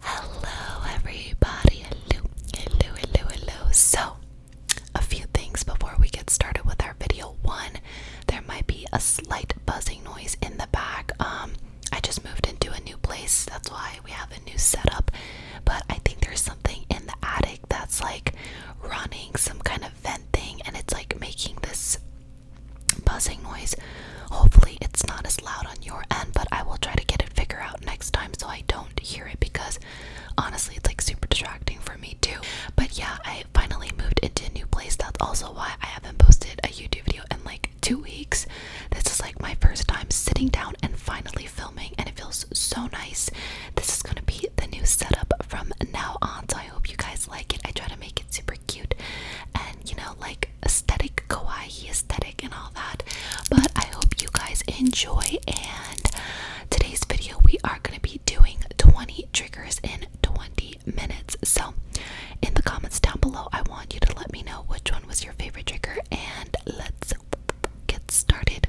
Hello, everybody. Hello, hello, hello, hello. So, a few things before we get started with our video. One, there might be a slight buzzing noise in the back. Um, I just moved into a new place, that's why we have a new setup. But I think there's something in the attic that's like running some kind of vent thing, and it's like making this buzzing noise. Hopefully, it's not as loud on your end, but I will try to get it figured out next time so I don't hear it because honestly, it's like super distracting for me too. But yeah, I finally moved into a new place. That's also why I haven't posted a YouTube video in like two weeks. This is like my first time sitting down and finally filming, and it feels so nice. This is gonna be the new setup from now on, so I hope you guys like it. I try to make it super cute and you know like aesthetic kawaii aesthetic and all that but i hope you guys enjoy and today's video we are going to be doing 20 triggers in 20 minutes so in the comments down below i want you to let me know which one was your favorite trigger and let's get started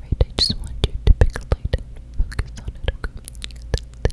Right, I just want you to pick a light and focus on it,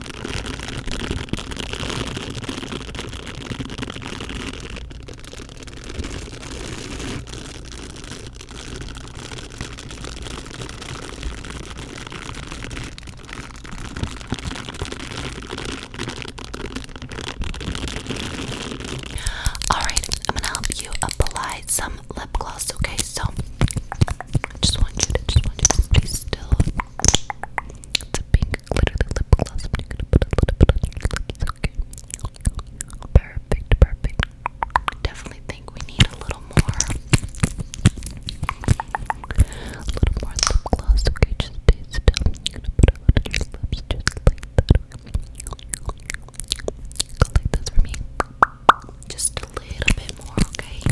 All right, I'm gonna help you apply some lip gloss. Okay, so I just want you to just want you to stay still. It's a pink literally lip Perfect, perfect. Definitely think we need a little more. A little more lip gloss, okay? Just stay still. You're gonna put it on your lips just like that. Go like this for me. Just a little bit more, okay?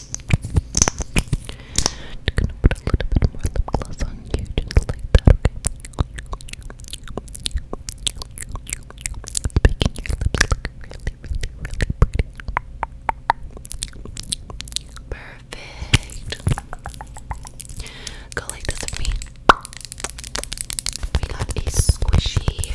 Just gonna put a little bit more lip gloss on you, just like that, okay? making your lips look really, really, really pretty. Perfect. Go like this with me. We got a squishy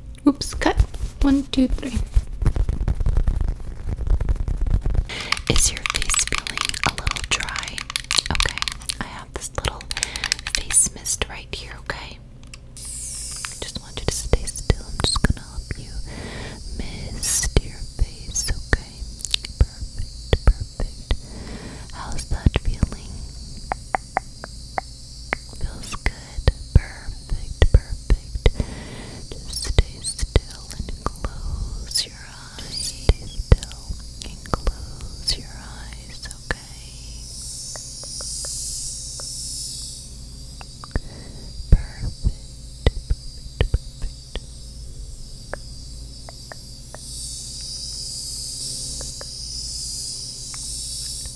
Oops, cut. One, two, three. Is your face feeling a little dry? Okay, I have this little face mist right here, okay? I just want you to stay still. I'm just gonna help you mist your face, okay? Perfect, perfect. How's that feeling? Feels good. Perfect, perfect. Just stay still and close your eyes. stay still and close your eyes, okay? perfect.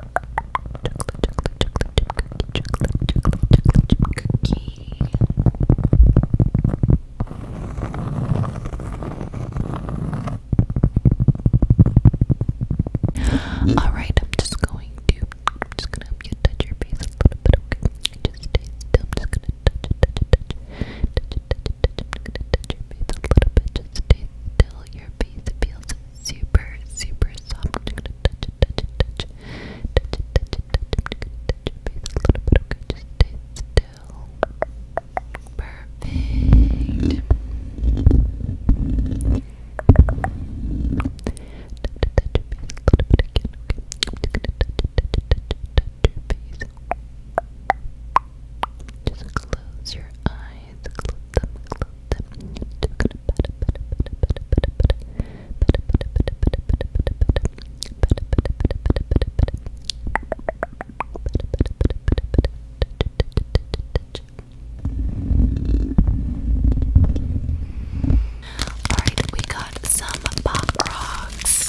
All right, I'm just going to, I'm just gonna help you touch your face a little bit. just stay still. I'm just gonna touch it, touch it, touch touch touch touch I'm just gonna touch your face a little bit. Just stay still. Your face feels super, super soft. i a little bit. Okay, just Perfect. a little bit Just close your eyes. Alright, we got some pop rocks.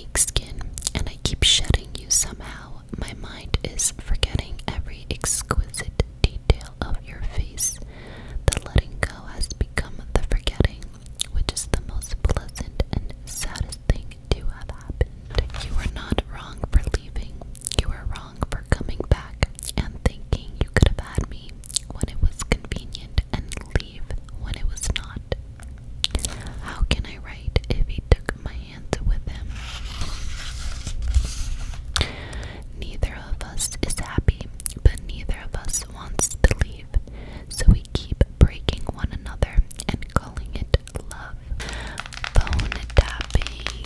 skin, and I keep shedding you somehow. My mind is forgetting every exquisite detail of your face. The letting go has become the forgetting, which is the most pleasant and saddest thing to have happened. You were not wrong for leaving, you were wrong for coming back and thinking you could have had me when it was convenient and when it was not? How can I write if he took my hands with him? Neither of us is happy, but neither of us wants to leave, so we keep breaking one another and calling it love. Phone tapping.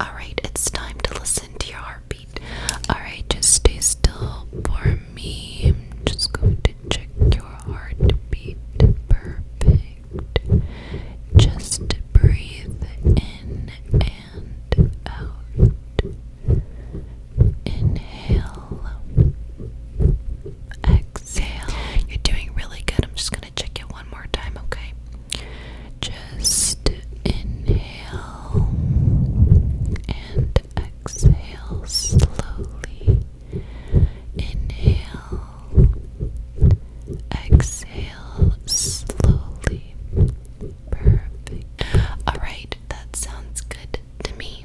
Alright, it's time to listen to your heartbeat. Alright, just stay still for me. just going to check your heartbeat. Perfect. Just breathe in and out. Inhale. Exhale. You're doing really good. I'm just going check it one more time, okay? Just inhale and exhale slowly. Inhale, exhale slowly. Perfect. Alright, that sounds good to me.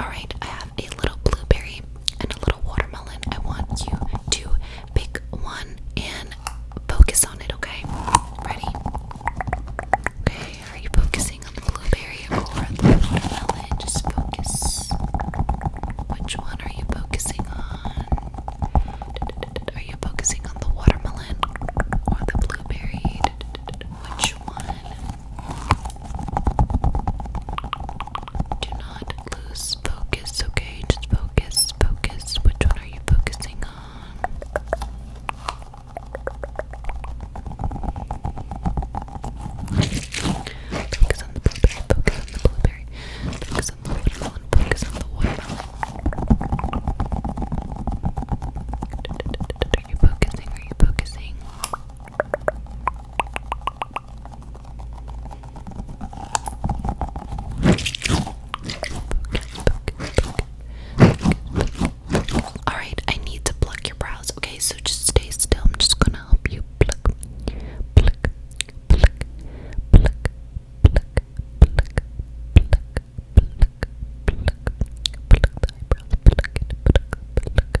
All right, I have a little blueberry and a little watermelon. I want you to pick one and focus on it, okay? Ready? Okay, are you focusing on the blueberry or the watermelon? Just focus. Which one are you focusing on? Are you focusing on the watermelon or the blueberry? Which one? Do not lose focus, okay? Just focus, focus. Which are you focusing on? Focus on the blueberry, focus on the blueberry, focus on the watermelon, focus on the watermelon. Are you focusing? Are you focusing? Alright, I need to pluck your brows. Okay, so just stay still. I'm just gonna help you pluck, pluck, pluck, pluck, pluck, pluck, pluck, pluck, pluck, pluck the eyebrows, pluck it, pluck, pluck,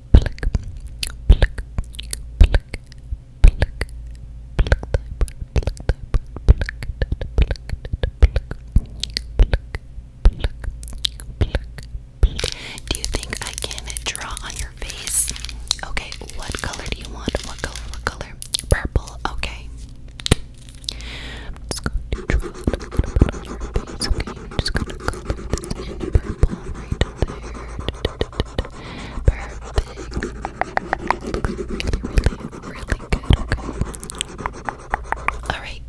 pluck, Do you think I can draw on your face? Okay, what color do you want? What color? What color? Purple. Okay. Alright,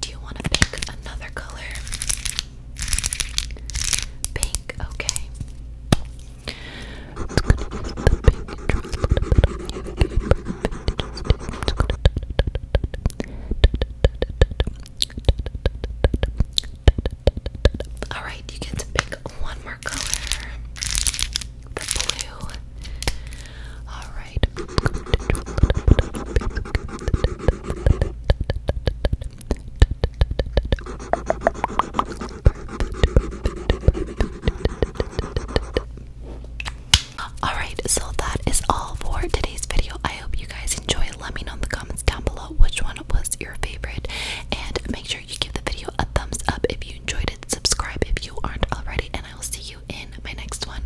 do you want to pick another color? Pink, okay. All right, you get to pick one more color. The blue. All right. All right, so that is all for today's video. I hope you guys enjoyed let me know in the comments down below which one was your favorite. And make sure you give the video a thumbs up if you enjoyed it. Subscribe if you aren't already, and I will see you in my next one.